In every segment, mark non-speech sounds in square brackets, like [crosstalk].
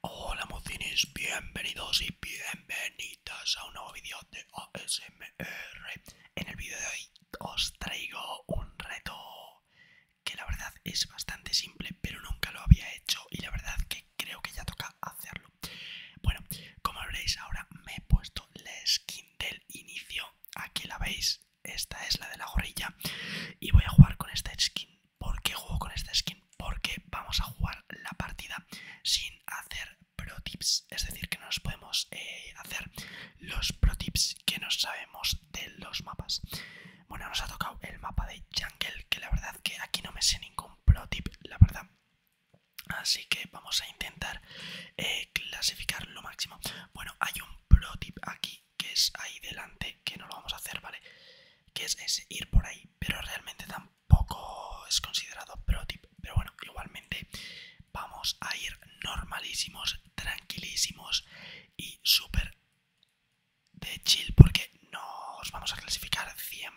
Hola mocines, bienvenidos y bienvenidas a un nuevo vídeo de ASMR. En el vídeo de hoy os traigo un reto que la verdad es bastante simple, pero nunca lo había hecho y la verdad que creo que ya toca hacerlo. Bueno, como veréis ahora me he puesto la skin del inicio, aquí la veis, esta es la de la gorilla y voy a jugar con esta skin ¿Por qué juego con esta skin? Porque vamos a jugar la partida sin hacer pro tips, es decir, que no nos podemos eh, hacer los pro tips que no sabemos de los mapas. Bueno, nos ha tocado el mapa de Jungle, que la verdad que aquí no me sé ningún pro tip, la verdad. Así que vamos a intentar eh, clasificar lo máximo. Bueno, hay un pro tip aquí que es ahí delante, que no lo vamos a hacer, ¿vale? que es ese, ir por ahí, pero realmente tampoco es considerado pro tip. Pero bueno, igualmente vamos a ir normalísimos, tranquilísimos y súper de chill porque nos vamos a clasificar 100%.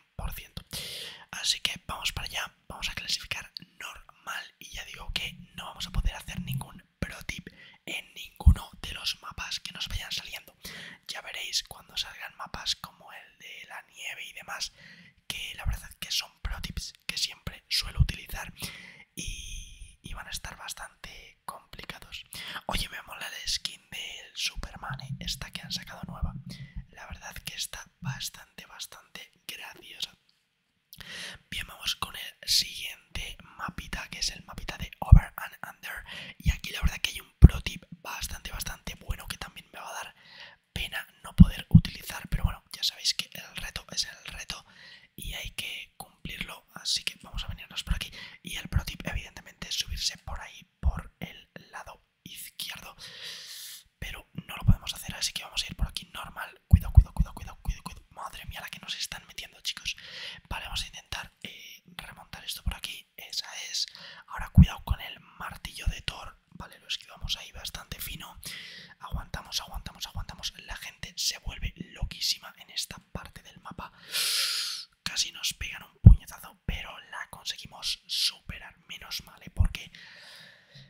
Así que vamos para allá, vamos a clasificar normal y ya digo que no vamos a poder hacer ningún pro tip en ninguno de los mapas que nos vayan saliendo ya veréis cuando salgan mapas como el de la nieve y demás, que la verdad que son pro tips que siempre suelo utilizar y, van a estar bastante complicados. Oye, me la skin del Superman, ¿eh? esta que han sacado nueva. La verdad que está bastante, bastante graciosa. Bien, vamos con el siguiente mapita, que es el mapita de Over and Under. Y aquí la verdad que hay un pro tip bastante, bastante bueno que también me va a dar pena no poder utilizar. Pero bueno, ya sabéis que el reto es el reto y hay que cumplirlo. Así que vamos a venirnos por aquí. Y el pro tip, evidentemente, es subirse por ahí, por el lado izquierdo. Pero no lo podemos hacer, así que vamos a ir por aquí normal. Cuidado, cuidado, cuidado, cuidado, cuidado. Madre mía, la que nos están metiendo, chicos. Vale, vamos a intentar eh, remontar esto por aquí esa es. Ahora cuidado con el martillo de Thor, vale, lo esquivamos ahí bastante fino. Aguantamos, aguantamos, aguantamos. La gente se vuelve loquísima en esta parte del mapa. Casi nos pegan un puñetazo, pero la conseguimos superar, menos mal, ¿eh? porque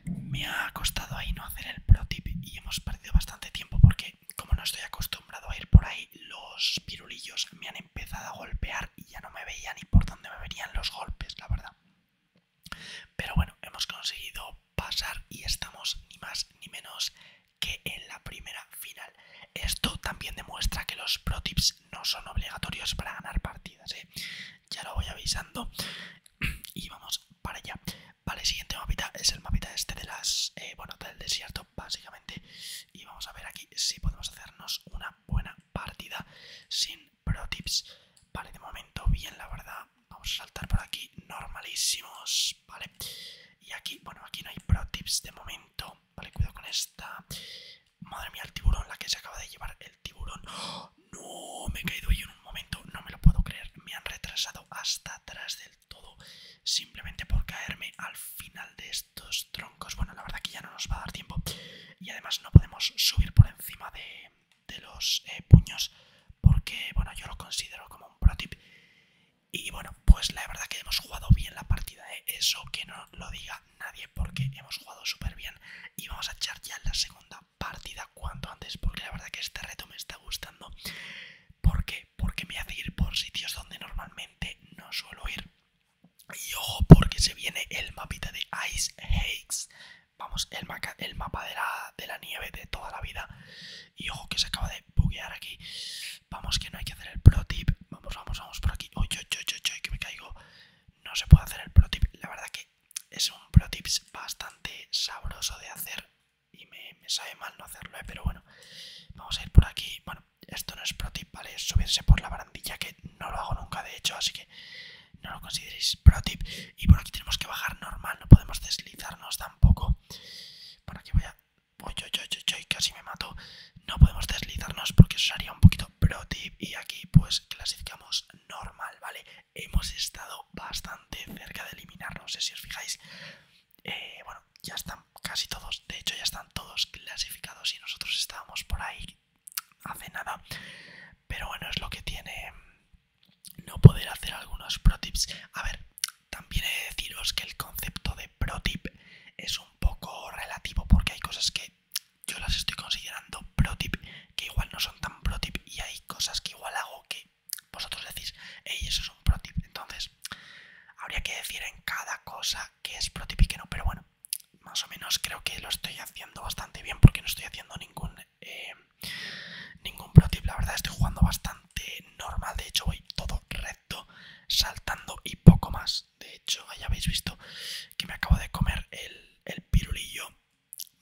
me ha costado ahí no hacer el pro tip y hemos perdido bastante tiempo porque como no estoy acostumbrado a ir por ahí, los pirulillos me han empezado a golpear y ya no me veía ni por dónde me venían los golpes, la verdad. Pero bueno, hemos conseguido pasar y estamos ni más ni menos que en la primera final. Esto también demuestra que los pro tips no son obligatorios para ganar partidas, ¿eh? ya lo voy avisando. [clears throat] Y vamos para allá. Vale, siguiente mapita es el mapita este de las. Eh, bueno, del desierto, básicamente y vamos a ver aquí si podemos hacernos una buena partida sin pro tips. Vale, de momento bien, la verdad. Vamos a saltar por aquí normalísimos, ¿vale? Y aquí, bueno, aquí no hay pro tips de momento. Vale, cuidado con esta. Madre mía, el tiburón, la que se acaba de llevar el tiburón. ¡Oh! No, me he caído yo en un momento, no me lo puedo creer. Me han retrasado hasta atrás del todo simplemente por caerme al final de este estos troncos. Bueno, la verdad que ya no nos va a dar tiempo. Y además no podemos subir por encima de, los eh, puños porque, bueno, yo lo considero como un pro tip. Y bueno, pues la verdad que hemos jugado bien la partida, ¿eh? eso que no lo diga nadie porque hemos jugado súper bien y vamos a echar ya la segunda partida cuanto antes porque la verdad que este reto me está gustando. ¿Por Porque me hace ir por sitios donde normalmente no suelo ir y ojo, porque se viene el mapita de Ice Heights. Vamos, el, mapa de la, nieve de toda la vida. Y ojo, que se acaba de buguear aquí. Vamos, que no hay que hacer el pro tip. Vamos, vamos, vamos por aquí. ojo, ojo, ojo! yo, que me caigo. No se puede hacer el pro La verdad que es un pro bastante sabroso de hacer. Y me, sabe mal no hacerlo, eh, pero bueno. Vamos a ir por aquí. Bueno, esto no es pro tip, ¿vale? subirse por la barandilla, que no lo hago nunca, de hecho, así que no lo consideréis pro tip. Y por aquí tenemos que bajar normal, no podemos deslizarnos tampoco. Por aquí voy a... Uy, casi me mato. No podemos deslizarnos porque eso sería un poquito pro tip. Y aquí pues clasificamos normal, ¿vale? Hemos estado bastante cerca de eliminarnos, sé si os fijáis. Eh, bueno, ya están casi todos, de hecho ya están todos clasificados y nosotros estábamos por ahí hace nada. Pero bueno, es lo que tiene mm, no poder hacer algunos pro tips. A ver, también he de deciros que el concepto de pro tip es un poco relativo porque hay cosas que yo las estoy considerando pro tip que igual no son tan pro tip y hay cosas que igual hago que vosotros decís, hey, eso es un pro tip. Entonces, habría que decir en cada cosa que es no, pero bueno, más o menos creo que lo estoy haciendo bastante bien porque no estoy haciendo ningún, eh, ningún protip. La verdad, estoy jugando bastante normal. De hecho, voy todo recto, saltando y poco más. De hecho, ya habéis visto que me acabo de comer el, pirulillo.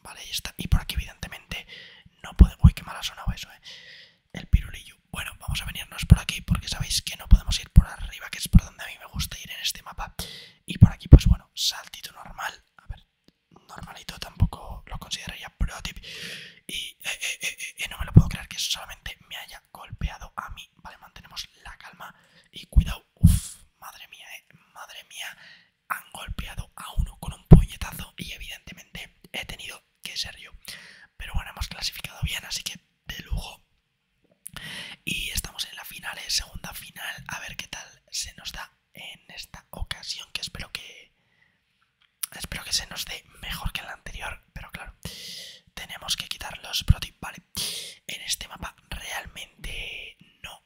Vale, y está. Y por aquí, evidentemente, no puedo, Uy, qué mal ha sonado eso, eh. El pirulillo bueno, vamos a venirnos por aquí porque sabéis que no podemos ir por arriba, que es por donde a mí me gusta ir en este mapa. Y por aquí, pues bueno, saltito normal. A ver, normalito tampoco lo consideraría pro tip. Y eh, eh, eh, no me lo puedo creer que solamente me haya golpeado a mí. Vale, mantenemos la calma y cuidado. Uff, madre mía, madre mía. Han golpeado a uno con un puñetazo y evidentemente he tenido que ser yo. Pero bueno, hemos clasificado bien, así que de lujo. Y estamos en la final, segunda final, a ver qué tal se nos da en esta ocasión, que espero que espero que se nos dé mejor que en la anterior, pero claro, tenemos que quitar los protip, vale. En este mapa realmente no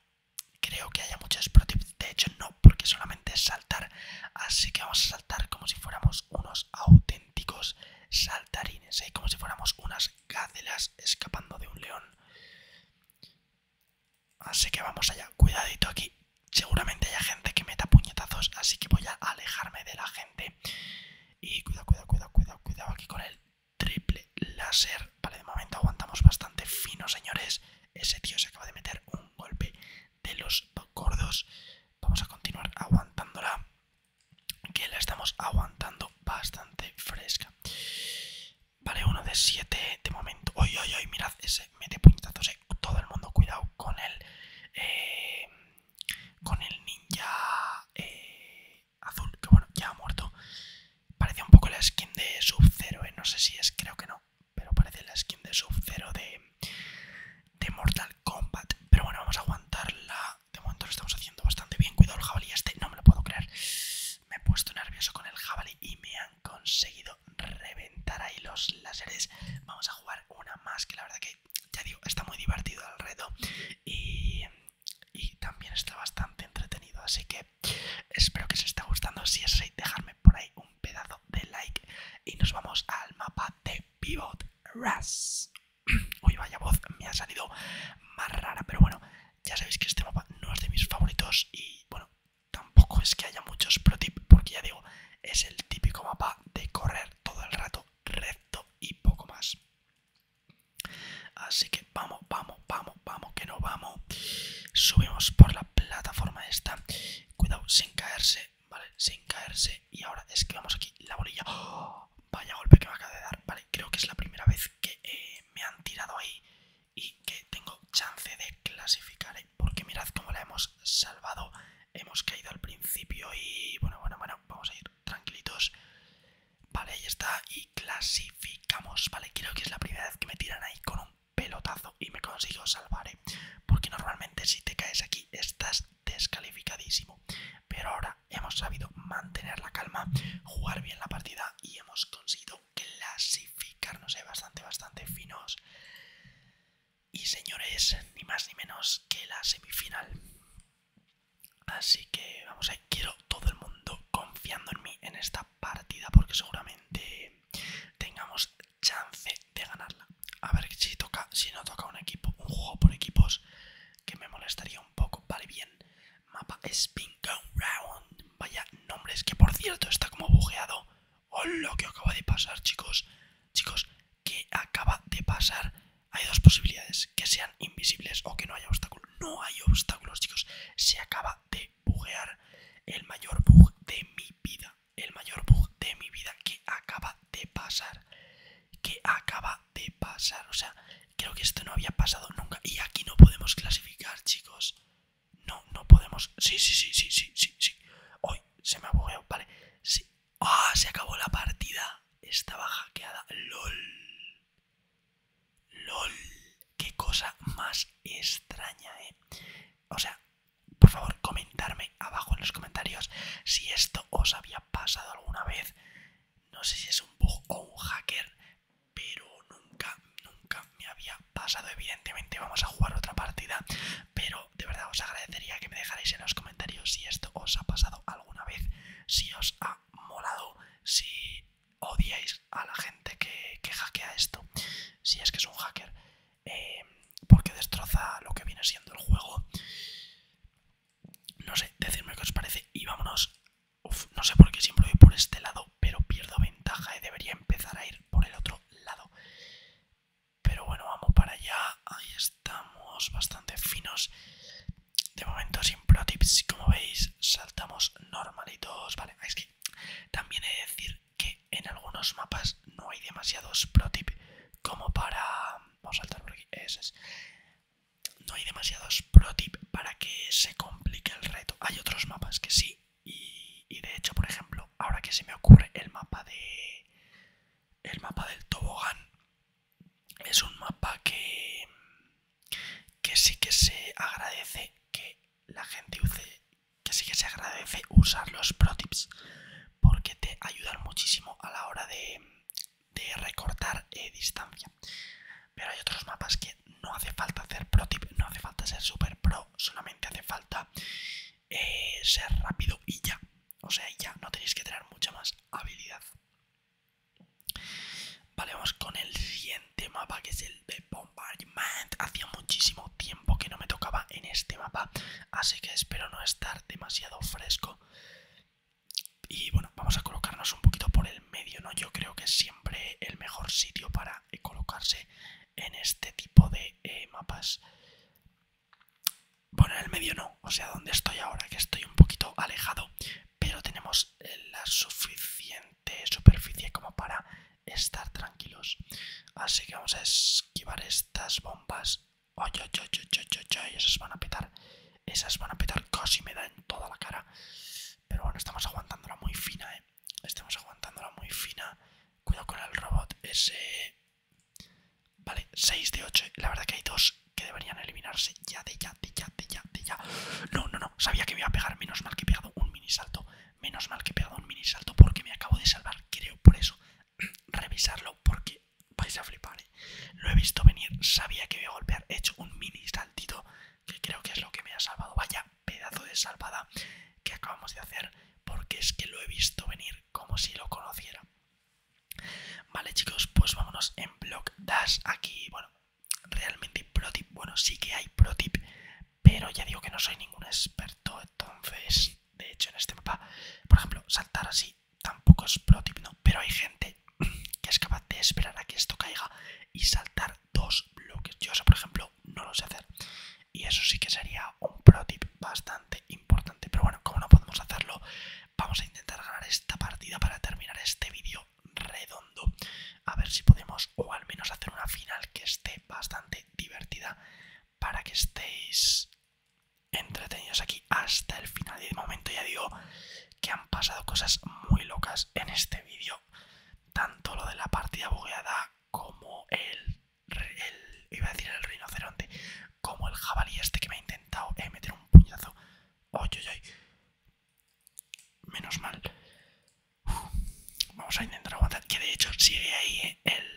creo que haya muchos protips, de hecho no, porque solamente es saltar, así que vamos a saltar como si fuéramos unos auténticos saltarines, ¿eh? como si fuéramos unas gacelas escapando de un león. Así que vamos allá, cuidadito aquí. Seguramente haya gente que meta puñetazos, así que voy a alejarme de la gente. Y cuidado, cuidado, cuidado, cuidado, cuidado aquí con el triple láser. Vale, de momento aguantamos bastante fino, señores. Ese tío se acaba de meter un golpe de los gordos. Vamos a continuar aguantándola que la estamos aguantando bastante fresca. Vale, uno de siete de momento. oye oye oy, mirad, ese mete puñetazos. Eh. Todo el mundo, cuidado con el. Eh, con el ninja eh, azul, que bueno, ya ha muerto. Parece un poco la skin de Sub-Zero, eh. no sé si es, creo que no. Pero parece la skin de Sub-Zero de, de Mortal Kombat. Pero bueno, vamos a aguantar la de momento lo estamos haciendo bastante bien. Cuidado el jabalí este, no me lo puedo creer. Me he puesto nervioso con el jabalí y me han conseguido reventar ahí los láseres. Vamos a jugar una más, que la verdad que, ya digo, está muy divertido el reto. Y, y también está bastante entretenido, así que espero que os esté gustando. Si es así, dejarme por ahí un pedazo de like. Y nos vamos al mapa de Pivot Rush. [clears throat] Uy, vaya voz, me ha salido más rara, pero bueno, ya sabéis que este mapa no es de mis favoritos y bueno, tampoco es que haya muchos pro porque ya digo, es el típico mapa de correr todo el rato recto y poco más. Así que vamos, vamos, vamos, vamos, que no vamos. Subimos por la plataforma esta. Cuidado, sin caerse, ¿vale? Sin caerse y ahora es que vamos aquí la bolilla. [gasps] Vaya golpe que me acaba de dar. Vale, creo que es la primera vez que eh, me han tirado ahí y que tengo chance de clasificar. ¿eh? Porque mirad cómo la hemos salvado. Hemos caído al principio y bueno, bueno, bueno, vamos a ir tranquilitos. Vale, ahí está. Y clasificamos. Vale, creo que es la primera vez que me tiran ahí con un pelotazo y me consigo salvar. ¿eh? Porque normalmente si te caes aquí estás descalificadísimo. Pero ahora hemos sabido mantener la calma, jugar bien la partida y hemos conseguido clasificarnos eh, bastante, bastante finos. Y señores, ni más ni menos que la semifinal. Así que vamos a quiero todo el mundo confiando en mí en esta partida porque seguramente tengamos chance de ganarla. A ver si toca, si no toca un equipo, un juego por equipos, que me molestaría un poco. Vale, bien. Mapa Spin gun Round. Vaya nombres, que por cierto está como bugueado. lo que acaba de pasar, chicos. Chicos, que acaba de pasar. Hay dos posibilidades, que sean invisibles o que no haya obstáculos. No hay obstáculos, chicos. Se acaba de buguear el mayor bug de mi vida. El mayor bug de mi vida que acaba de pasar que acaba de pasar. O sea, creo que esto no había pasado nunca. Y aquí no podemos clasificar, chicos. No, no podemos. Sí, sí, sí, sí, sí, sí, sí. Hoy se me ha vale. Sí. ¡Ah! Se acabó la partida. Estaba hackeada. LOL. LOL. Qué cosa más extraña, eh. O sea, por favor, comentarme abajo en los comentarios si esto os había pasado alguna vez. No sé si es un bug o un hacker, pero nunca, nunca me había pasado. Evidentemente vamos a jugar otra partida, pero de verdad os agradecería que me dejarais en los comentarios si esto os ha pasado alguna vez, si os ha molado, si odiáis a la gente que, hackea esto, si es que es un hacker, eh, porque destroza lo que viene siendo el juego. No sé, decirme qué os parece y vámonos. no sé por qué siempre voy por este lado, pero pierdo ventaja y eh. debería empezar a ir por el otro lado. Pero bueno, vamos para allá. Ahí estamos, bastante finos. De momento sin pro tips, como veis, saltamos normalitos. Vale, es que también he de decir que en algunos mapas no hay demasiados pro tip como para... Vamos a saltar por aquí, ese es no hay demasiados pro tips para que se complique el reto. Hay otros mapas que sí, y, de hecho, por ejemplo, ahora que se me ocurre el mapa de. El mapa del tobogán es un mapa que. que sí que se agradece que la gente use. que sí que se agradece usar los pro tips porque te ayudan muchísimo a la hora de de recortar eh, distancia. Pero hay otros mapas que no hace falta hacer pro tip, no hace falta ser super pro, solamente hace falta eh, ser rápido y ya. O sea, ya no tenéis que tener mucha más habilidad. Vale, vamos con el siguiente mapa que es el de Bombardment. Hacía muchísimo tiempo que no me tocaba en este mapa, así que espero no estar demasiado fresco. Y bueno, vamos a colocarnos un poquito por el medio, ¿no? Yo creo que es siempre el mejor sitio para eh, colocarse en este tipo de eh, mapas. Bueno, en el medio no, o sea, donde estoy ahora, que estoy un poquito alejado, pero tenemos eh, la suficiente superficie como para estar tranquilos. Así que vamos a esquivar estas bombas Oye, oye, oye, oye, oye, esas van a petar. Esas van a petar, casi me da en toda la cara. Pero bueno, estamos aguantándola muy fina, eh. Estamos aguantándola muy fina. Cuidado con el robot ese. Vale, 6 de 8. La verdad que hay dos que deberían eliminarse ya, de ya, de ya, de ya, de ya. No, no, no. Sabía que me iba a pegar. Menos mal que he pegado un mini salto. Menos mal que he pegado un mini salto porque me acabo de salvar. Creo por eso revisarlo porque vais a flipar. ¿eh? Lo he visto venir, sabía que iba a golpear, he hecho un mini saltito que creo que es lo que me ha salvado. Vaya pedazo de salvada que acabamos de hacer porque es que lo he visto venir como si lo conociera. Vale chicos, pues vámonos en Block Dash. Aquí, bueno, realmente pro tip, bueno, sí que hay pro tip, pero ya digo que no soy ningún experto, entonces, de hecho en este mapa, por ejemplo, saltar así tampoco es pro tip, no, pero hay gente [clears throat] que es capaz de esperar a que esto caiga y saltar dos bloques. Yo eso, por ejemplo, no lo sé hacer. Y eso sí que sería un pro tip bastante importante. Pero bueno, como no podemos hacerlo, vamos a intentar ganar esta partida para terminar este vídeo redondo. A ver si podemos, o al menos hacer una final que esté bastante divertida para que estéis entretenidos aquí hasta el final. Y de momento ya digo que han pasado cosas muy locas en este vídeo. Tanto lo de la partida bugueada como el, iba a decir el rinoceronte. Como el jabalí este que me ha intentado eh, meter un puñazo. Menos mal. Vamos a intentar aguantar. Que de hecho sigue ahí eh, el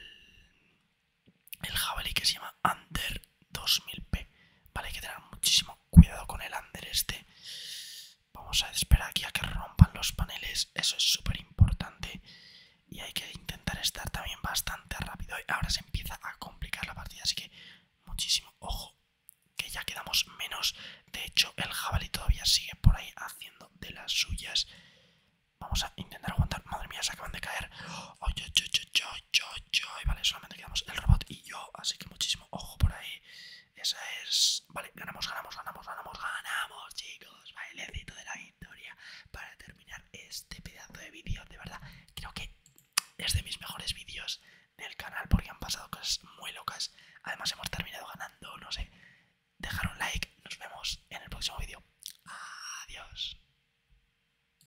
el jabalí que se llama Under 2000P. Vale, hay que tener muchísimo cuidado con el Under este. Vamos a esperar aquí a que rompan los paneles, eso es súper importante. Y hay que intentar estar también bastante rápido. Ahora se empieza a complicar la partida, así que muchísimo ojo, que ya quedamos menos. De hecho, el jabalí todavía sigue por ahí haciendo de las suyas. Vamos a intentar aguantar. Madre mía, se acaban de caer yo, yo, Y vale, solamente quedamos el robot y yo. Así que muchísimo ojo por ahí. Esa es. Vale, ganamos, ganamos, ganamos, ganamos, ganamos, chicos. éxito de la victoria. Para terminar este pedazo de vídeo. De verdad, creo que es de mis mejores vídeos del canal porque han pasado cosas muy locas. Además, hemos terminado ganando, no sé. Dejar un like. Nos vemos en el próximo vídeo. Adiós.